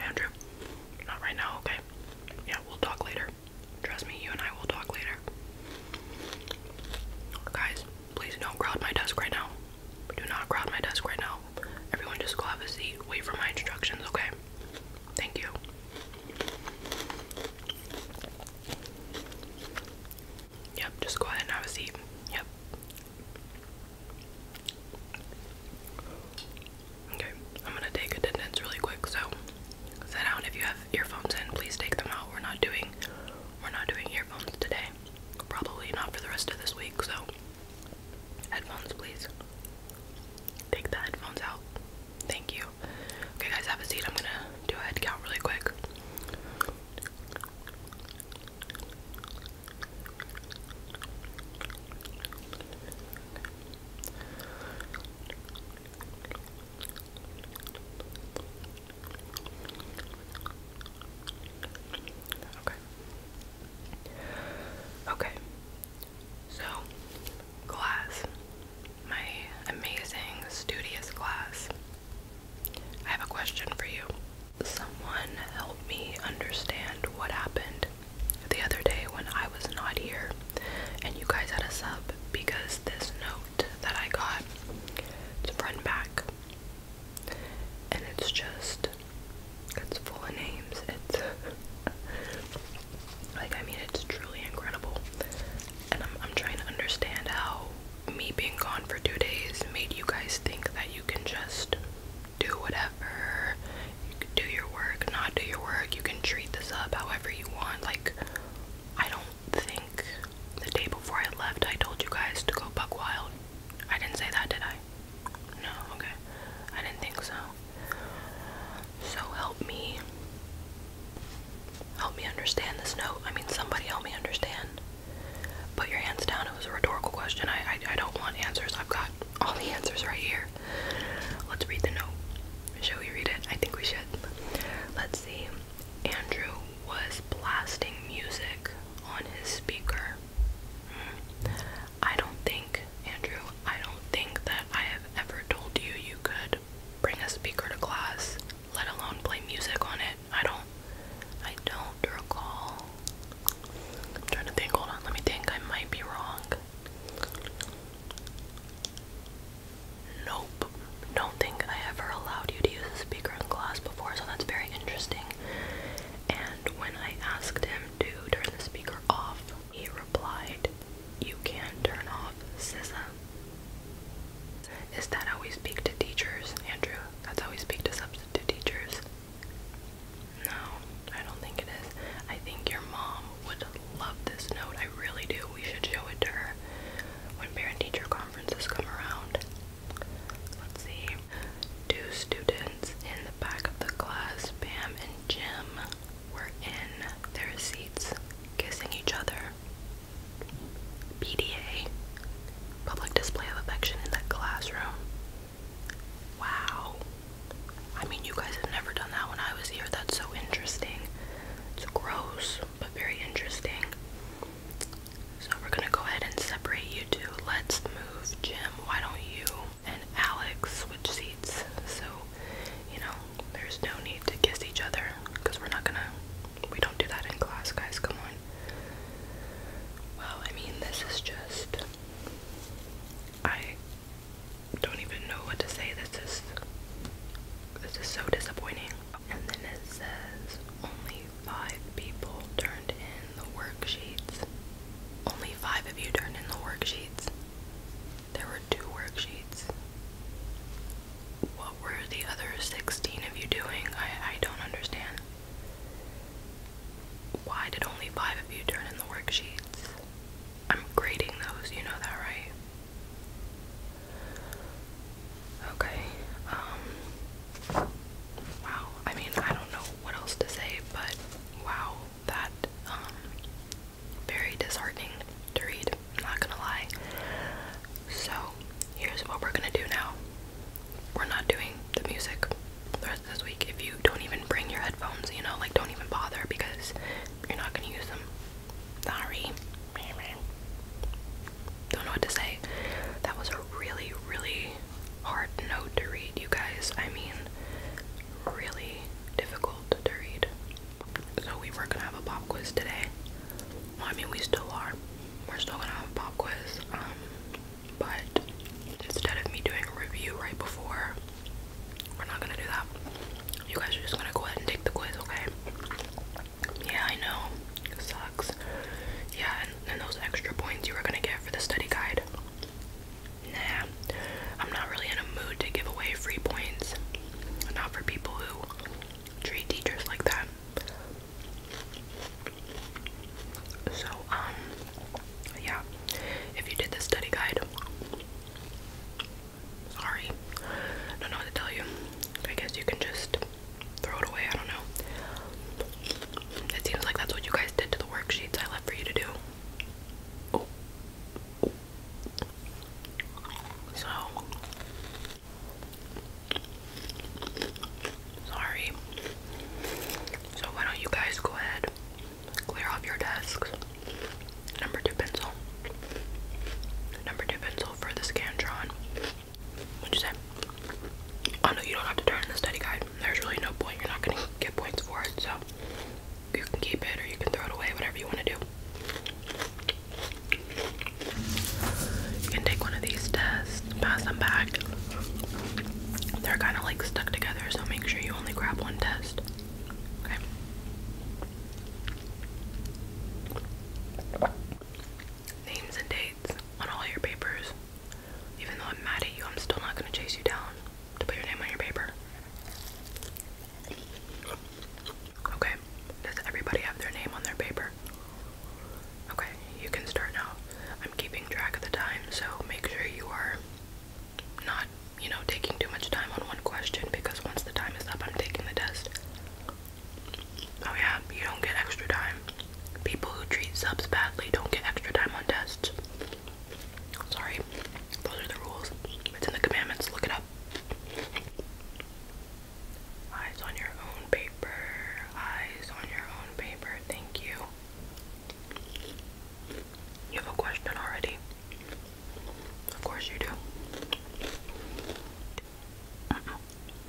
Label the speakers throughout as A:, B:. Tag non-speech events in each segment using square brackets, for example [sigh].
A: Andrew, not right now, okay? Yeah, we'll talk later. Trust me, you and I will talk later. Guys, please don't crowd my desk right now. Do not crowd my desk right now. Everyone just go have a seat. Wait for my instructions, okay? Thank you. Yep, just go ahead and have a seat. Yep. Okay, I'm gonna take attendance really quick, so sit down. If you have earphones in, please take them out. We're not doing we're not doing earphones today. Probably not for the rest of this week, so headphones please. Take the headphones out. Thank you. Okay, guys, have a seat. I'm gonna do a head count really quick. Okay. Okay. So, class. My amazing, studious class. I have a question for you. Someone help me understand what happened the other day when I was not here and you guys had a sub because this note that I got, it's front back. And it's just, it's full of names. It's [laughs] Like I mean, it's truly incredible, and I'm I'm trying to understand how me being gone for two days made you guys think that you can just do whatever, you can do your work, not do your work, you can treat this up however you want. Like I don't think the day before I left, I told you guys to go buck wild. I didn't say that, did I? No, okay. I didn't think so. So help me. Help me understand this note. I mean, somebody help me understand. Put your hands down. It was a rhetorical question. I, I, don't want answers. I've got all the answers right here. Let's read the note. Shall we read it? I think we should. Let's see. Andrew was blasting music on his speaker. Hmm. I don't think, Andrew, I don't think that I have ever told you you could bring a speaker to class, let alone play music on it. I don't, I don't recall. I'm trying to think, hold on, let me think, I might be wrong. Nope, don't think I ever allowed you to use a speaker in class before, so that's very interesting. And when I asked him to turn the speaker off, he replied, you can turn off CISA. Is that how we speak to teachers, Andrew? That's how we speak to substitute teachers. No, I don't think it is. I think your mom would love this note. I really do. We should show it to her when parent teacher conferences come around. Let's see. Two students in the back of the class, Pam and Jim, were in their seats kissing each other. PDA, public display of affection in that classroom. Wow. I mean, you guys have never done that when I was here. That's so interesting. It's gross, but very interesting. So, we're gonna go ahead and separate you two. Let's move, Jim. Why don't you and Alex switch seats, so you know there's no need to kiss each other because we're not gonna, we don't do that in class, guys. Come on. Well, I mean, this is just, I don't even know what to say. This is, this is so disappointing. And then it says only five people turned in the worksheets. Only five of you turned in the worksheets. There were two worksheets. What were the other 16 of you doing? I, I don't understand. Why did only five of you turn in the worksheets? I'm grading those, you know that, right? Okay, um, wow. I mean, I don't know what else to say, but wow that um, very disheartening to read, not gonna lie. So here's what we're gonna do now. We're not doing the music the rest this week. If you don't even bring your headphones, you know, like don't even bother because you're not gonna use them. Sorry. Don't know what to say. That was a really, really hard note to read, you guys. I mean, really difficult to read. So we were gonna have a pop quiz today. I mean, we still are. We're still gonna have a pop quiz. Um, but instead of me doing a review right before, we're not gonna do that. You guys are just gonna go ahead and take the quiz, okay? Yeah, I know. sucks. Yeah, and, those extra points you were gonna get for the study guide nah, I'm not really in a mood to give away free points. Not for people who treat teachers like that. So, um, yeah, if you did the study guide, sorry, don't know what to tell you. I guess you can just throw it away, I don't know. It seems like that's what you guys did to the worksheets I left for you to do. So sorry. So why don't you guys go ahead, clear off your desks. Number two pencil. Number two pencil for the Scantron. What'd you say? Oh no, you don't have to turn in the study guide there's really no point. You're not gonna get points for it, so you can keep it or you can throw it away, whatever you want to do. You can take one of these tests, pass them back. They're kind of like stuck together, so make sure you only grab one test. Okay. Names and dates on all your papers. Even though I'm mad at you, I'm still not gonna chase you down to put your name on your paper. Okay, does everybody have their name on their paper? Okay, you can start now. I'm keeping track of the time, so make sure you are not, you know, taking too much time on one question because once the time is up, I'm taking the test. Oh, yeah, you don't get extra time. People who treat subs badly don't get extra time on tests. Sorry, those are the rules. It's in the commandments. Look it up. Eyes on your own paper. Eyes on your own paper. Thank you. You have a question already. Of course you do.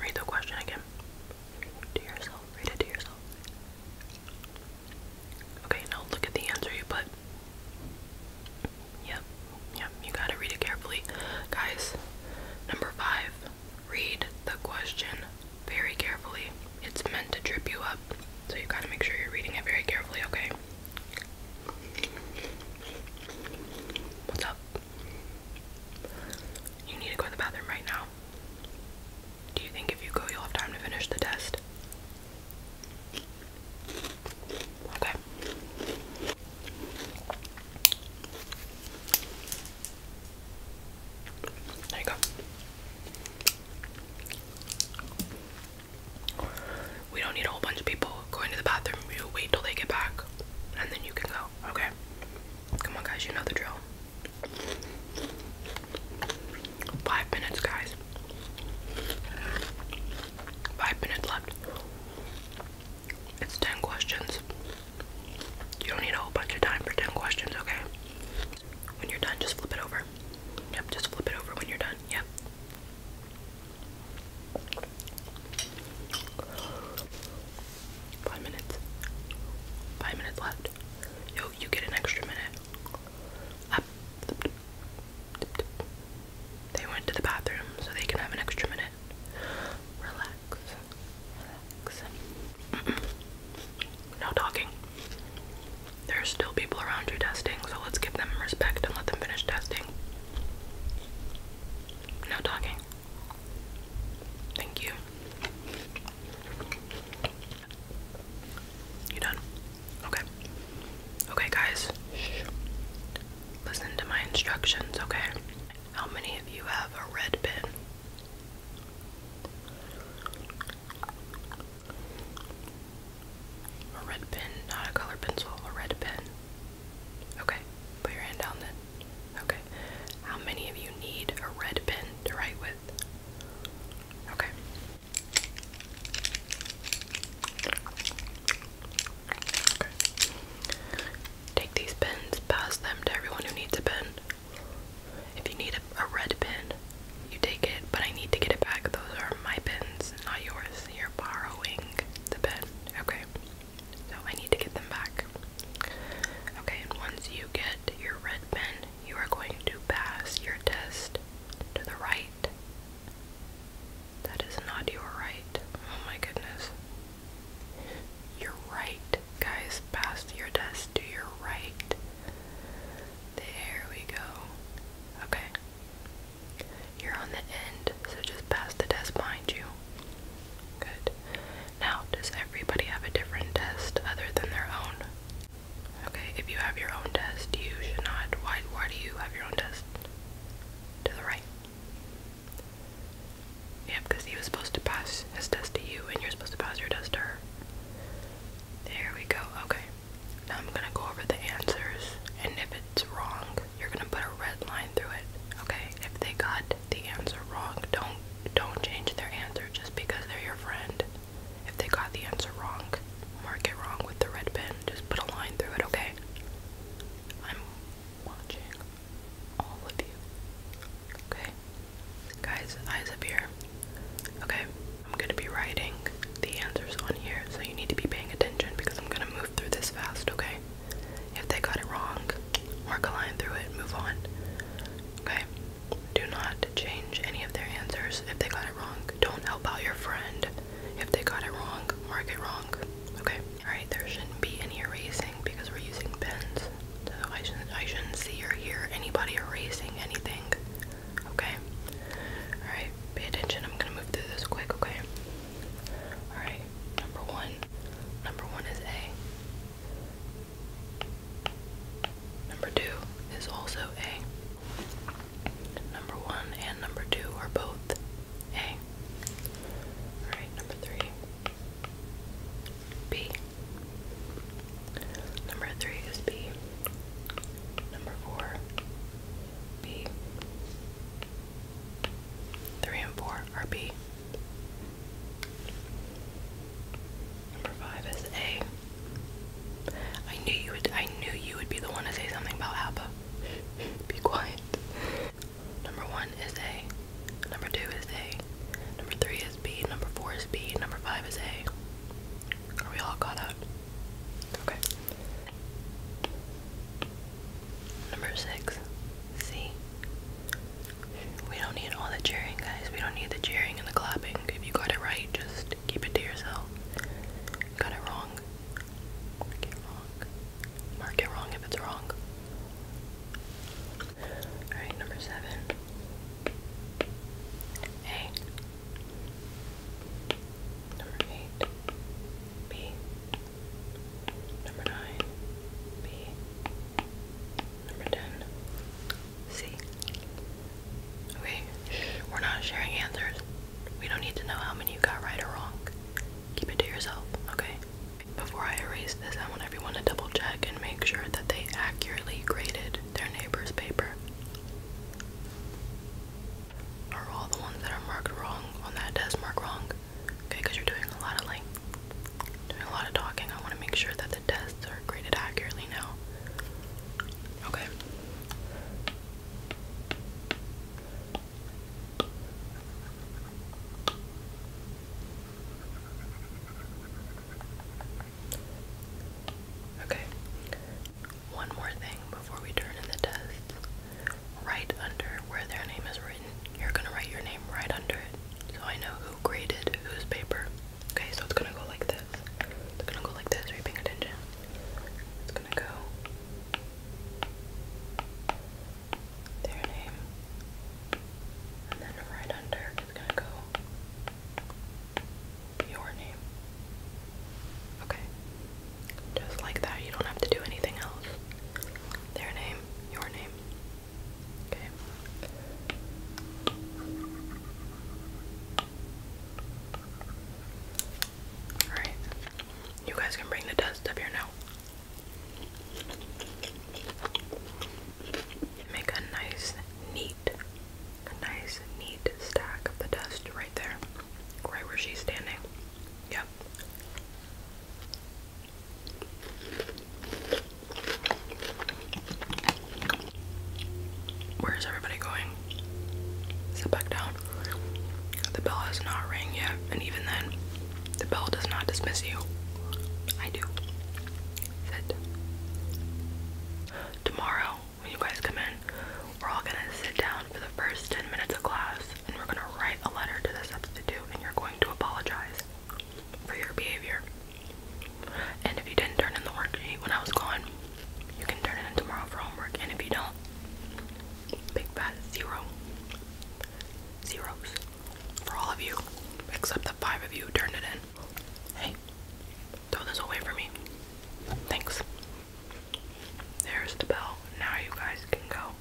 A: Read the question again. To yourself. Read it to yourself. Okay, now look at the answer you put. Yep, yep, you gotta read it carefully. Guys, number five, read the question very carefully. It's meant to trip you up, so you gotta make sure you're reading it very carefully, okay? What's up? You need to go to the bathroom right now. Do you think if you go, you'll have time to finish the test? Okay. There you go. We don't need a whole bunch of people going to the bathroom. You wait till they get back and then you can go. Okay? Come on, guys, you know the drill. Five minutes, guys. Five minutes left. It's 10 questions. You don't need a whole bunch of time for 10 questions, okay? When you're done, just flip it over. Yep, just flip it over when you're done. Yep. Five minutes. Five minutes left. Yo, you get an extra minute. Ah. They went to the bathroom so they can have an extra minute. Relax. Relax. No talking. There are still people around you testing, so let's give them respect and let them finish testing. No talking. Thank you. You done? Okay. Okay, guys. Listen to my instructions, okay? How many of you have a red pen? A red pen, not a color pencil, a red pen. Okay, put your hand down then. Okay. How many of you need a red pen to write with? Okay. Take these pins, pass them to everyone who needs a pin. If you need a, red pin, you take it, but I need to get it back. Those are my pins, not yours. You're borrowing the pin. Okay. So I need to get them back. Okay, and once you get your red pin, you are going to pass your test to the right. That is not your right. Oh my goodness. Your right, guys. Pass your test to your right. There we go. Okay. You're on the end, so just pass the test behind you. Good. Now, does everybody have a different test other than their own? Okay, if you have your own test, you should not. Why, why do you have your own test? To the right. Yeah, because he was supposed to pass his test to you, and you're supposed to pass your test to her. There we go. Okay. Now I'm gonna go over the answers, and if it's wrong, you're gonna put a red line through it. Okay. If they got the answer wrong. Don't don't change their answer just because they're your friend. If they got the answer wrong, mark it wrong with the red pen. Just put a line through it, okay? I'm watching all of you. Okay? Guys, eyes up here. Okay, I'm gonna be writing the answers on here, so you need to be paying attention because I'm gonna move through this fast, okay? If they got it wrong, mark a line through it, move on. Okay? Do not change any of their answers if they got it wrong. Don't help out your friend if they got it wrong. Mark it wrong. Okay? Alright, there shouldn't be any erasing because we're using pens. So I shouldn't I shouldn't see or hear anybody erasing anything. Okay? Alright, pay attention. I'm gonna move through this quick, okay? Alright, number one. Number one is A. Number two is also A. Number one and number two are both A. Alright, number three. B. Number three is B. Number four, B. Three and four are B. Number five is A. I knew you would I knew you would be the one to say something about ABBA. [laughs] be quiet. Number one is A. Number two is A. Number three is B. Number four is B. Number five is A. Are we all caught up? Okay. Number six, C. We don't need all the cheering, guys. We don't need the cheering and the clapping. If you got it right, just keep it to yourself. Got it wrong. Mark it wrong. if it's wrong. Alright, number seven. A. Number eight. B. Number nine. B. Number 10. C. Okay, we're not sharing answers. We don't need to know how many you got right or wrong. Keep it to yourself, okay? Before I erase this, I want everyone to double check and make sure that they accurately graded their neighbor's paper. Are all the ones that are marked wrong on that test marked wrong? Okay, because you're doing a lot of like doing a lot of talking. I want to make sure that the tests are graded accurately now. Okay. Okay. One more thing before we turn in the test. Right under where their name is written, you're going to write your name right under it so I know who graded whose paper. Okay, so it's gonna go like this. It's gonna go like this. paying attention? It's gonna go their name, and then right under it's gonna go your name. Okay, just like that. You don't have to do anything else. Their name, your name, Okay. Alright. You guys can bring the dust up here now. Make a nice, neat, a nice, neat stack of the dust right there. Right where she's standing. Yep. Where is everybody going? Sit back down. The bell has not rang yet, and even then, the bell does not dismiss you. I do. Sit. Tomorrow, when you guys come in, we're all gonna sit down for the first 10 minutes of class and we're going to write a letter to the substitute and you're going to apologize for your behavior. And if you didn't turn in the work sheet when I was gone, you can turn it in tomorrow for homework. And if you don't, big fat zero. Zeros. For all of you. Except the five of you who turned it in. Hey, throw this away for me. Thanks. There's the bell. Now you guys can go.